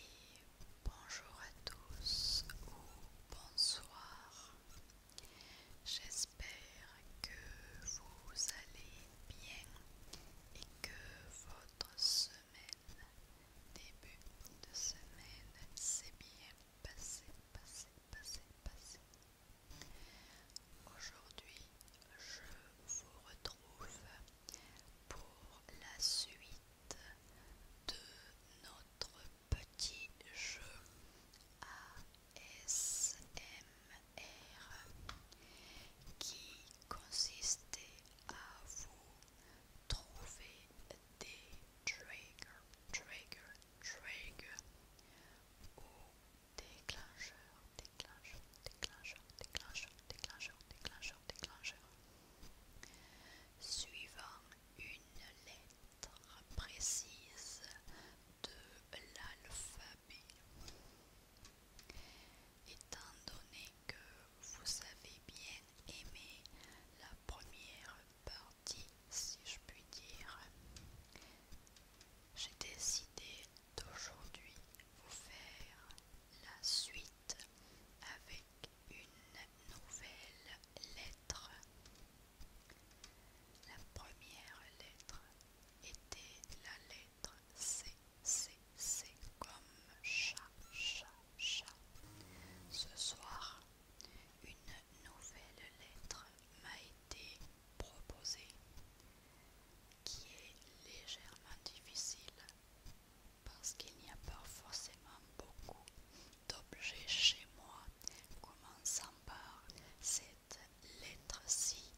Et bonjour à tous ou bonsoir J'espère que vous allez bien et que votre semaine, début de semaine, s'est bien passée, passé passé passé Aujourd'hui, je vous retrouve pour la suite de notre petit jeu à R qui consistait à vous trouver des trigger, trigger, trigger ou déclencheur, déclencheurs, déclencheurs, déclencheurs, déclencheur, déclencheur, déclencheurs, suivant une lettre précise de l'alphabet. Étant donné que vous avez bien aimé la première partie, si je puis dire, j'ai décidé d'aujourd'hui vous faire la suite avec une nouvelle lettre. La première lettre était la lettre C, C, C comme chat, chat, chat. Ce soir, une nouvelle lettre m'a été proposée qui est légèrement difficile parce qu'il n'y a pas forcément beaucoup d'objets chez moi commençant par C lettre si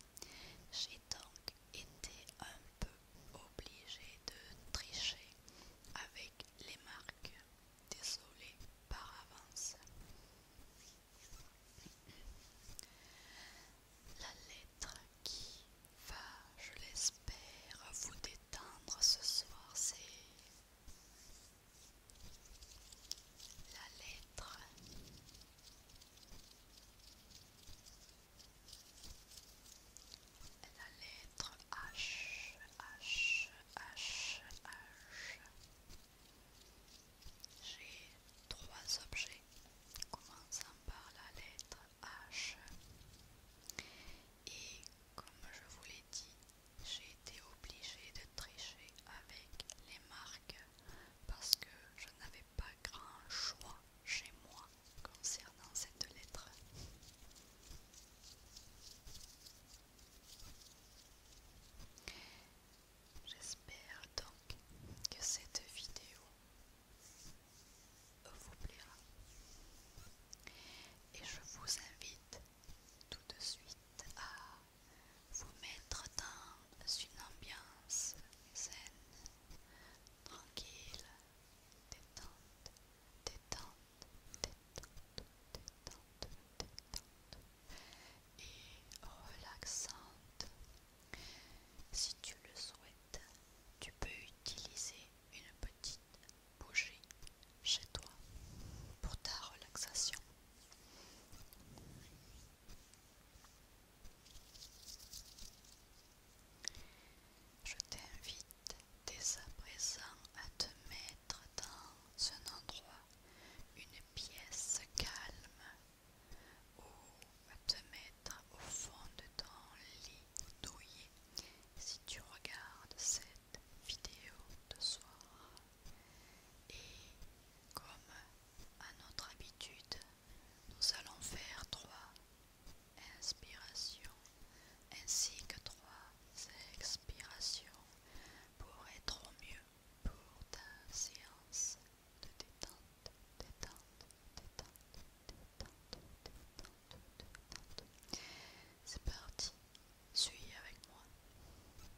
j'ai donc été un peu obligée de tricher avec les marques. Désolée par avance. La lettre qui va, je l'espère, vous détendre ce soir, c'est la lettre la lettre H H H H j'ai trois objets commençant par la lettre H et comme je vous l'ai dit j'ai été obligée de tricher avec les marques parce que je n'avais pas grand choix chez moi concernant cette lettre. J'espère donc que cette vidéo vous plaira et je vous invite tout de suite à vous mettre dans une ambiance saine, tranquille, détente, détente, détente, détente, détente et relaxante. Si tu le souhaites, tu peux utiliser une petite bougie chez toi pour ta relaxation. Je t'invite dès à présent à te mettre dans un endroit, une pièce calme, ou à te mettre au fond de ton lit douillet si tu regardes cette vidéo de soir. Et comme à notre habitude, nous allons faire trois inspirations ainsi que trois expirations pour être au mieux pour ta séance de détente, détente, détente, détente, détente, détente. C'est parti, suis avec moi.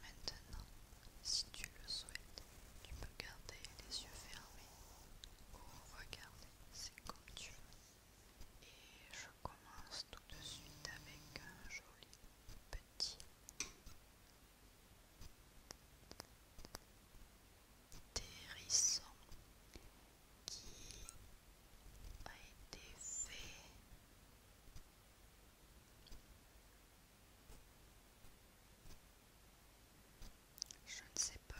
Maintenant, si tu le souhaites, tu peux garder les yeux fermés ou regarder, c'est comme tu veux. Et je commence tout de suite avec un joli petit hérisson qui a été fait je ne sais pas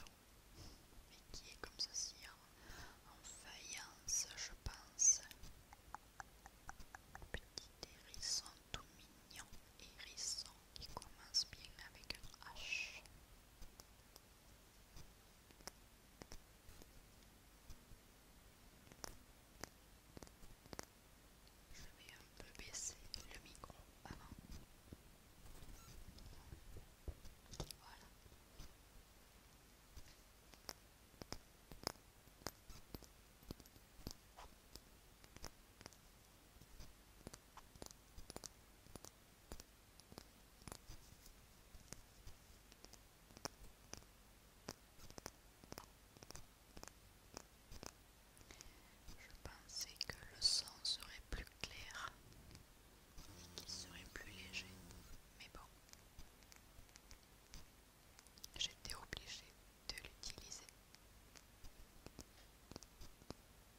où, mais qui est comme ceci en faïence, je pense. Petit hérisson tout mignon, hérisson qui commence bien avec un H. Je vais un peu baisser le micro avant. Voilà. Je pensais que le son serait plus clair et qu'il serait plus léger, mais bon, j'étais obligé de l'utiliser.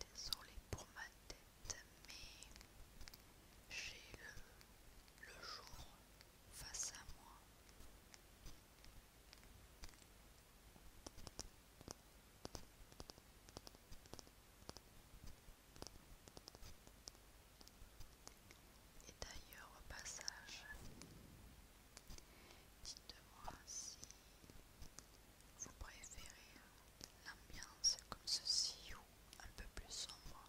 Désolée pour ma tête, mais j'ai le, le jour face à moi. Et d'ailleurs, au passage, Dites-moi si vous préférez euh, l'ambiance comme ceci ou un peu plus sombre.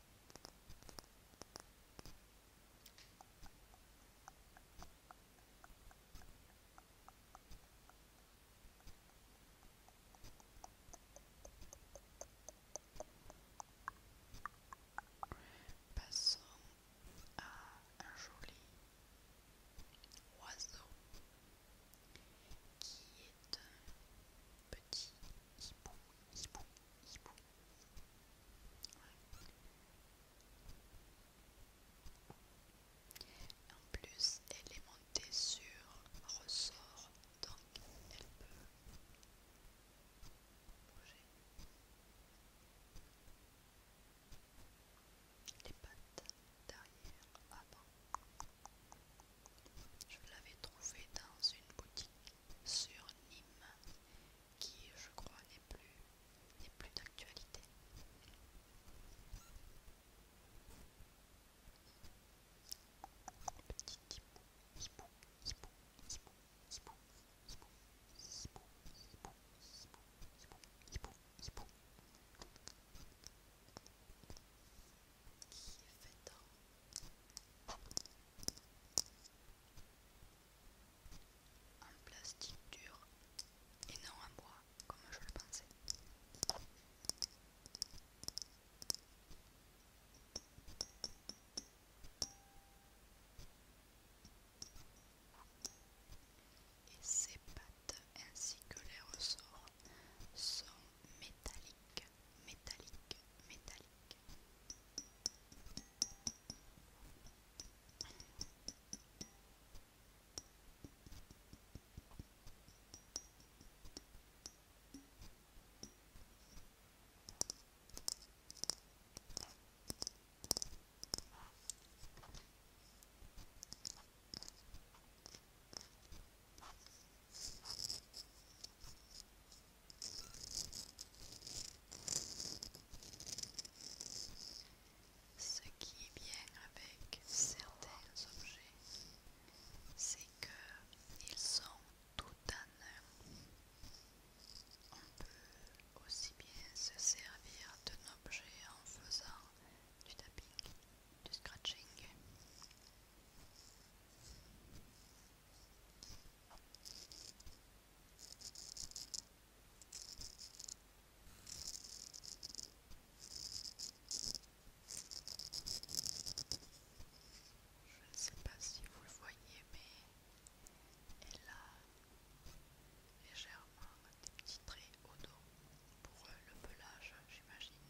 Passons à un joli oiseau qui est un petit en plus, elle est montée sur ressort, donc elle peut bouger les pattes derrière, avant. Je l'avais trouvé dans une boutique sur Nîmes qui, je crois, n'est plus, n'est plus d'actualité. Petit hibou, hibou, hibou, hibou, hibou, hibou, hibou, hibou, hibou, hibou, hibou, hibou qui est fait plastique dur et non en bois comme je le pensais. Et ses pattes ainsi que les ressorts sont métallique, métallique, métallique. Ce qui est bien avec certains objets, c'est qu'ils sont tout à un. On peut aussi bien se servir d'un objet en faisant du tapping, du scratching. Je ne sais pas si vous le voyez, mais elle a légèrement des petits traits au dos pour euh, le pelage, j'imagine.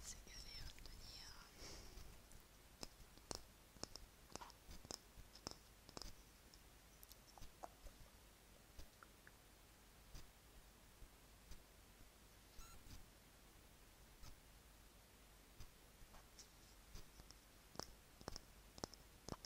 C'est galère de tenir.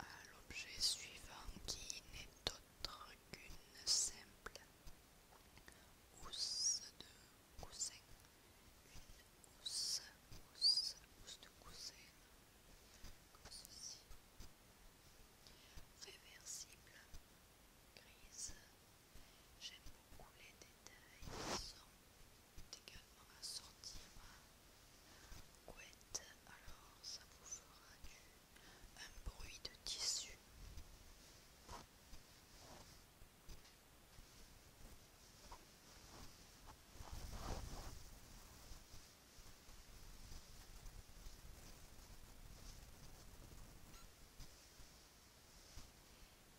à l'objet suivant qui n'est autre qu'une simple housse de coussin. Une housse, housse, housse de coussin, comme ceci, réversible, grise. J'aime beaucoup les détails également assorti ma couette, alors ça vous fera du, un bruit de tissu.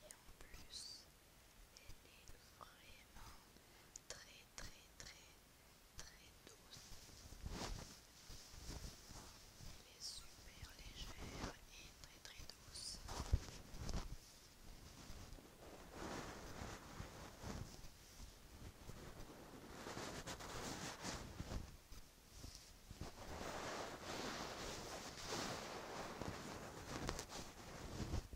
Et en plus, elle est vraiment très très très très douce. Les super légère et très très douce.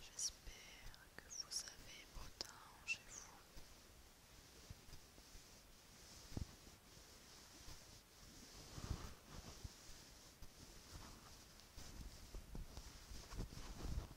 J'espère que vous avez beau temps chez vous.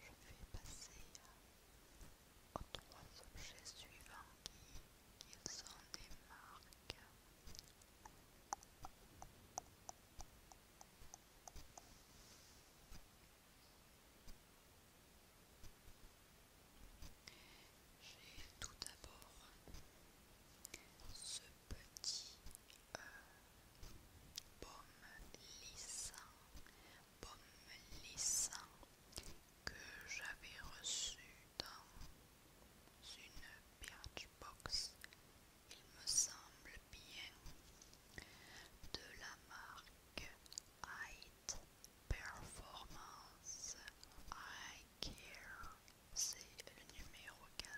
Je vais passer aux trois objets suivants qui, sont des marques j'ai tout d'abord ce petit euh, pomme lissant que j'avais reçu dans une box, il me semble bien, de la marque Height Performance I Care c'est le numéro 4.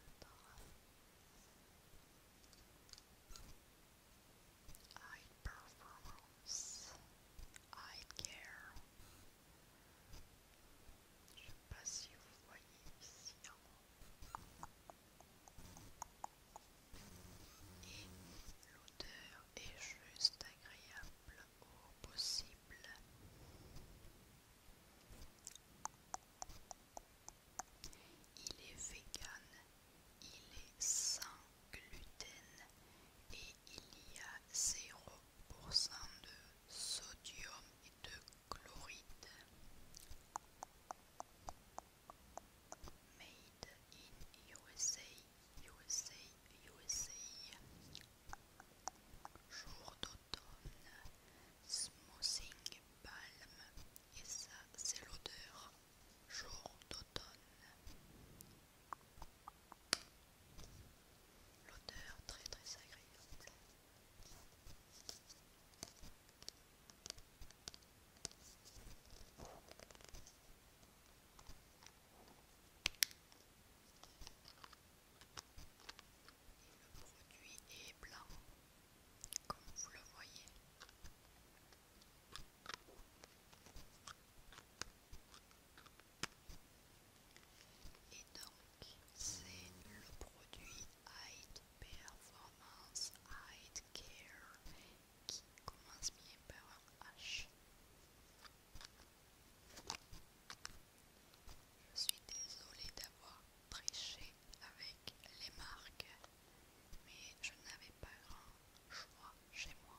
High performance, high care. Je ne sais pas si vous voyez ici Et l'odeur est juste agréable possible. Il est vegan, il est sans gluten et il y a 0% de sodium et de chloride. Made in USA, USA, USA. Jour et ça, c'est l'odeur jour d'automne. L'odeur très très agréable. Le produit est blanc, comme vous le voyez. Et donc, c'est le produit Hyde Performance Hyde Care qui commence bien par un H. Je suis désolée d'avoir triché avec les marques, mais je n'avais pas grand choix chez moi.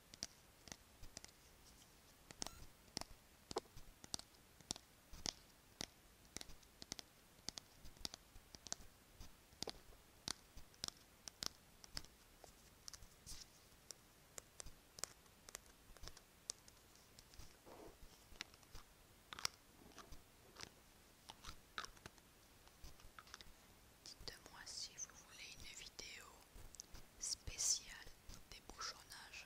Dites-moi si vous voulez une vidéo spécial bouchonnages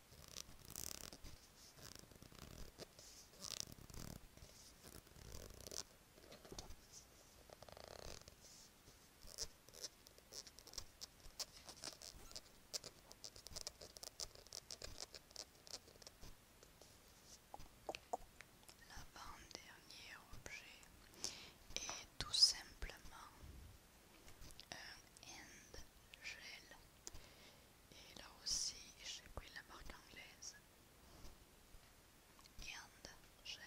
L'avant-dernier objet est tout simplement un euh, end gel et là aussi, j'ai pris la marque anglaise. And gel.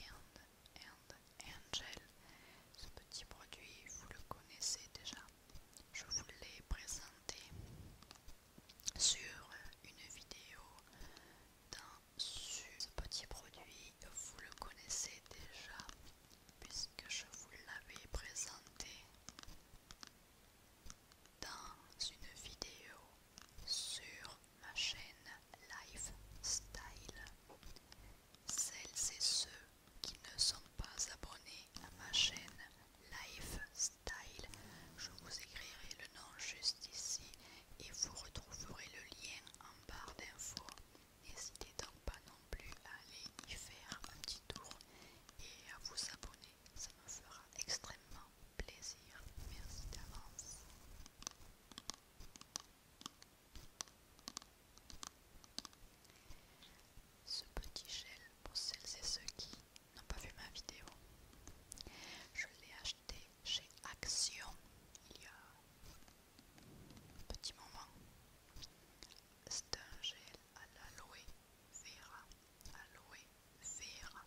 And, and, gel. Ce petit produit, vous le connaissez déjà. Je vous l'ai présenté sur une vidéo dans ce petit produit, vous le connaissez déjà puisque je vous l'avais présenté dans une vidéo sur ma chaîne Lifestyle. Celles et ceux qui ne sont pas abonnés à ma chaîne Lifestyle, je vous écrirai le nom juste ici et vous retrouverez le lien en barre d'infos N'hésitez donc pas non plus à aller y faire un petit tour et à vous abonner, ça me fera extrêmement plaisir. Merci d'avance. Ce petit gel pour celles et ceux qui n'ont pas vu ma vidéo, je l'ai acheté chez Action il y a un petit moment c'est un gel à l'aloe vera, aloe vera,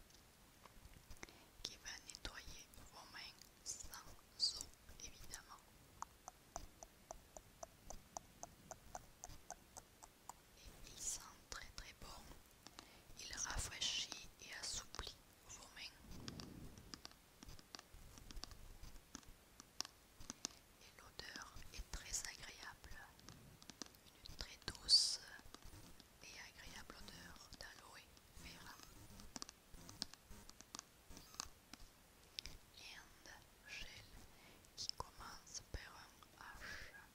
qui va nettoyer vos mains sans eau évidemment. Et il sent très très bon, il rafraîchit et assouplit vos mains et l'odeur est très agréable. Une très douce et agréable odeur d'aloe vera. un gel qui commence par un H.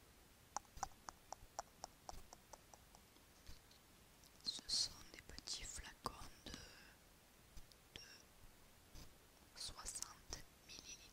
Ce sont des petits flacons de, de 60 milliliters.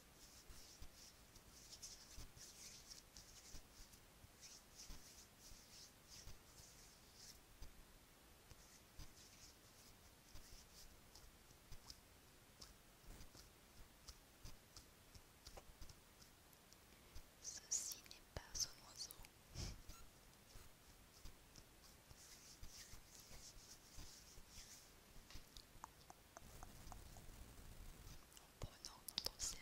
Ceci n'est pas un oiseau en prenant notre sérieux.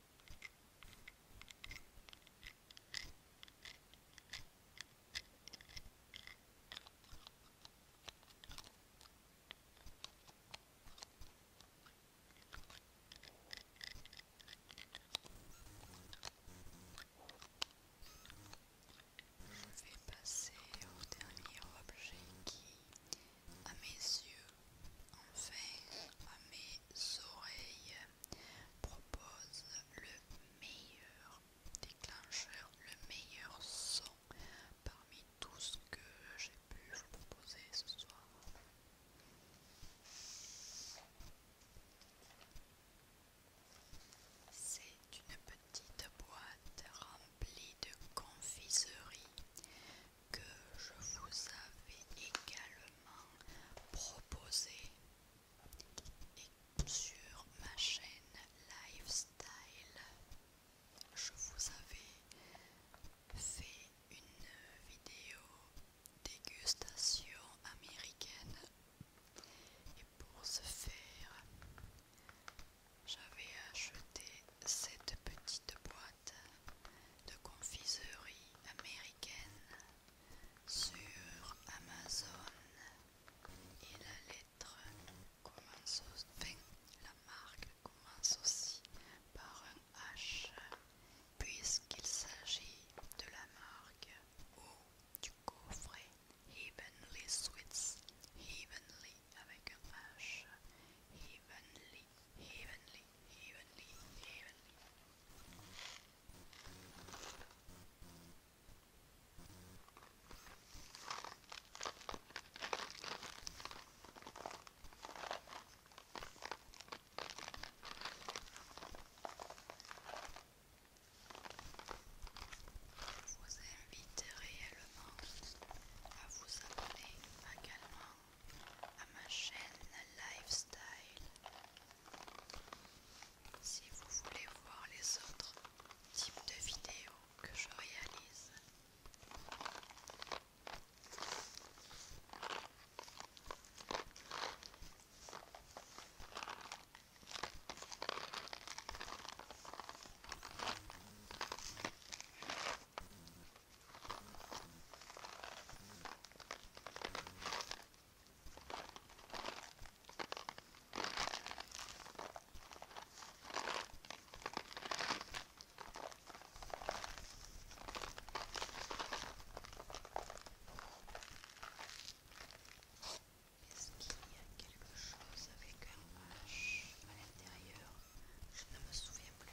Je vais passer au dernier objet qui à mes yeux, enfin à mes oreilles, propose le meilleur déclencheur, le meilleur son parmi tout ce que j'ai pu vous proposer ce soir. C'est une petite boîte remplie de confiseries que je vous avais également proposé et sur ma chaîne Lifestyle. Je vous avais fait une vidéo dégustation américaine et pour ce faire j'avais acheté cette petite boîte de confiserie américaine sur Amazon et la lettre commence la marque commence aussi par un H puisqu'il s'agit de la marque ou du coffret Heavenly Sweets Heavenly avec un H Heavenly evenly, Je vous invite réellement à vous abonner également à ma chaîne Lifestyle. Si vous voulez voir les autres types de vidéos que je réalise. Est-ce qu'il y a quelque chose avec un H à l'intérieur Je ne me souviens plus.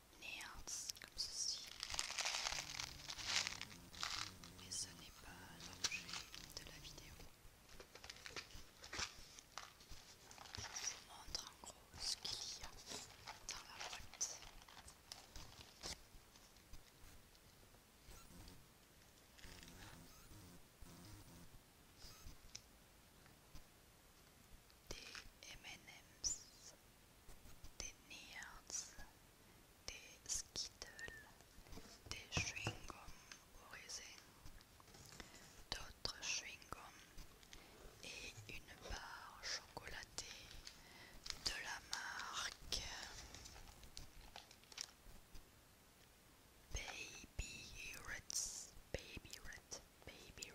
néance comme ceci. Mais ce n'est pas l'objet de la vidéo. Je vous montre en gros ce qu'il y a dans la boîte. Des MM's des Nerds, des Skittles, des chewing-gums d'autres chewing-gums et une barre chocolatée de la marque Baby Ritz Baby Baby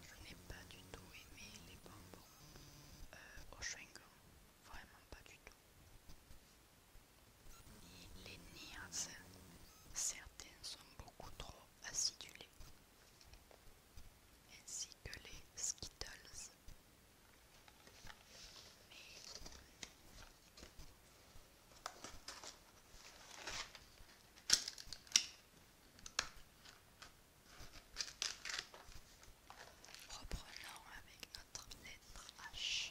je n'ai pas du tout aimé les bonbons euh, au vraiment pas du tout. Et les Niers, certains sont beaucoup trop acidulés, ainsi que les skittles. Mais Reprenons avec notre lettre H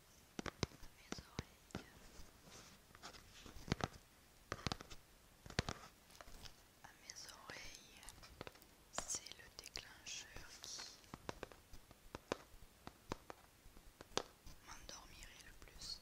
mes oreilles. À mes oreilles, c'est le déclencheur qui m'endormirait le plus.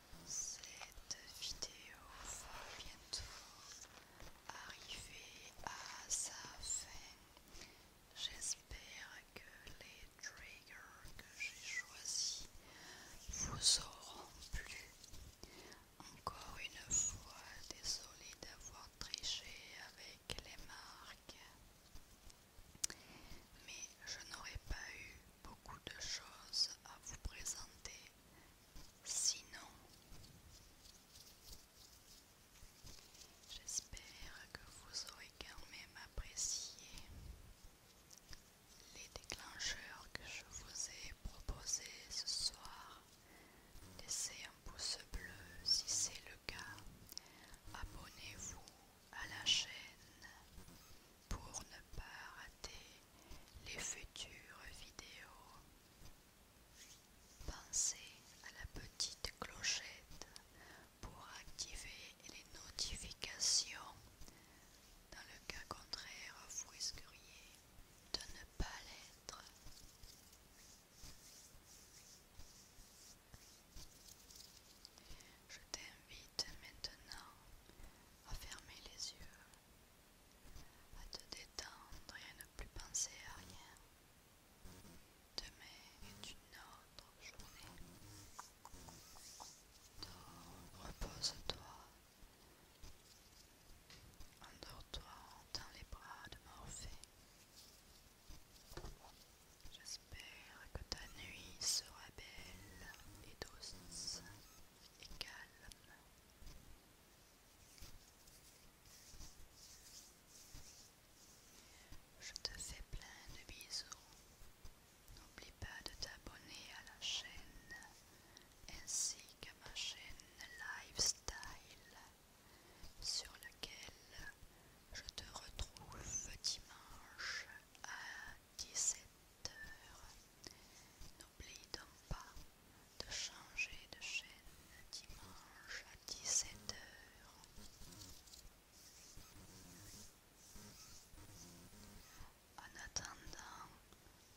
Cette vidéo va bientôt arriver à sa fin. J'espère que les triggers que j'ai choisis vous auront plu. Encore une fois, désolé d'avoir triché avec les marques. Mais je n'aurais pas eu beaucoup de choses à vous présenter. Sinon, j'espère que vous aurez quand même apprécié les déclencheurs que je vous ai proposés ce soir. Laissez un pouce bleu si c'est le cas. Abonnez-vous à la chaîne pour ne pas rater les futures vidéos. Pensez à la petite clochette pour activer les notifications. Dans le cas contraire, vous risqueriez de ne pas l'être. Je t'invite maintenant à fermer les yeux à te détendre et à ne plus penser à rien. Demain est une autre journée. Donc repose-toi. Endors-toi dans les bras de Morphée. J'espère que ta nuit sera belle et douce et calme. Je te fais plein de bisous. N'oublie pas de t'abonner à la chaîne ainsi qu'à ma chaîne Lifestyle sur laquelle je te retrouve dimanche à 17h. N'oublie donc pas de changer de chaîne dimanche à 17 heures En attendant,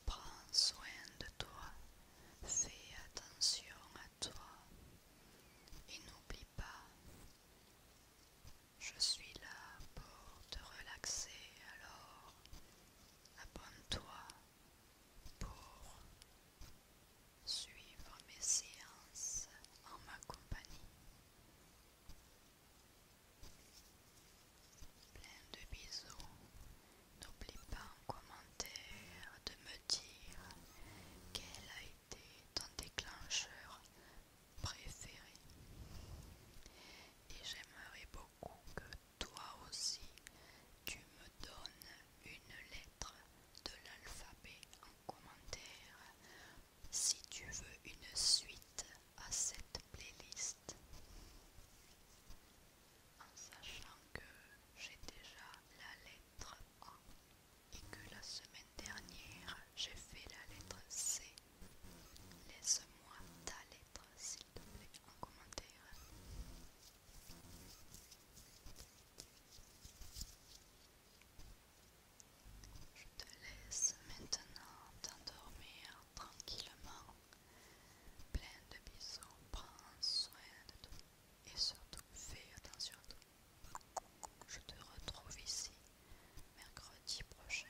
prends soin de toi, fais attention à toi et n'oublie pas, je suis là pour te relaxer alors Abonne-toi pour suivre mes séances en ma compagnie. Plein de bisous. N'oublie pas en commentaire de me dire quel a été ton déclencheur préféré. Et j'aimerais beaucoup que toi aussi tu me donnes une lettre de l'alphabet en commentaire si tu veux une suite à cette playlist. En sachant que j'ai déjà la lettre A et que la semaine dernière j'ai fait la lettre C Laisse-moi ta lettre, s'il te plaît, en commentaire. Je te laisse maintenant t'endormir tranquillement. Plein de bisous, prends soin de toi et surtout fais attention à toi. Je te retrouve ici mercredi prochain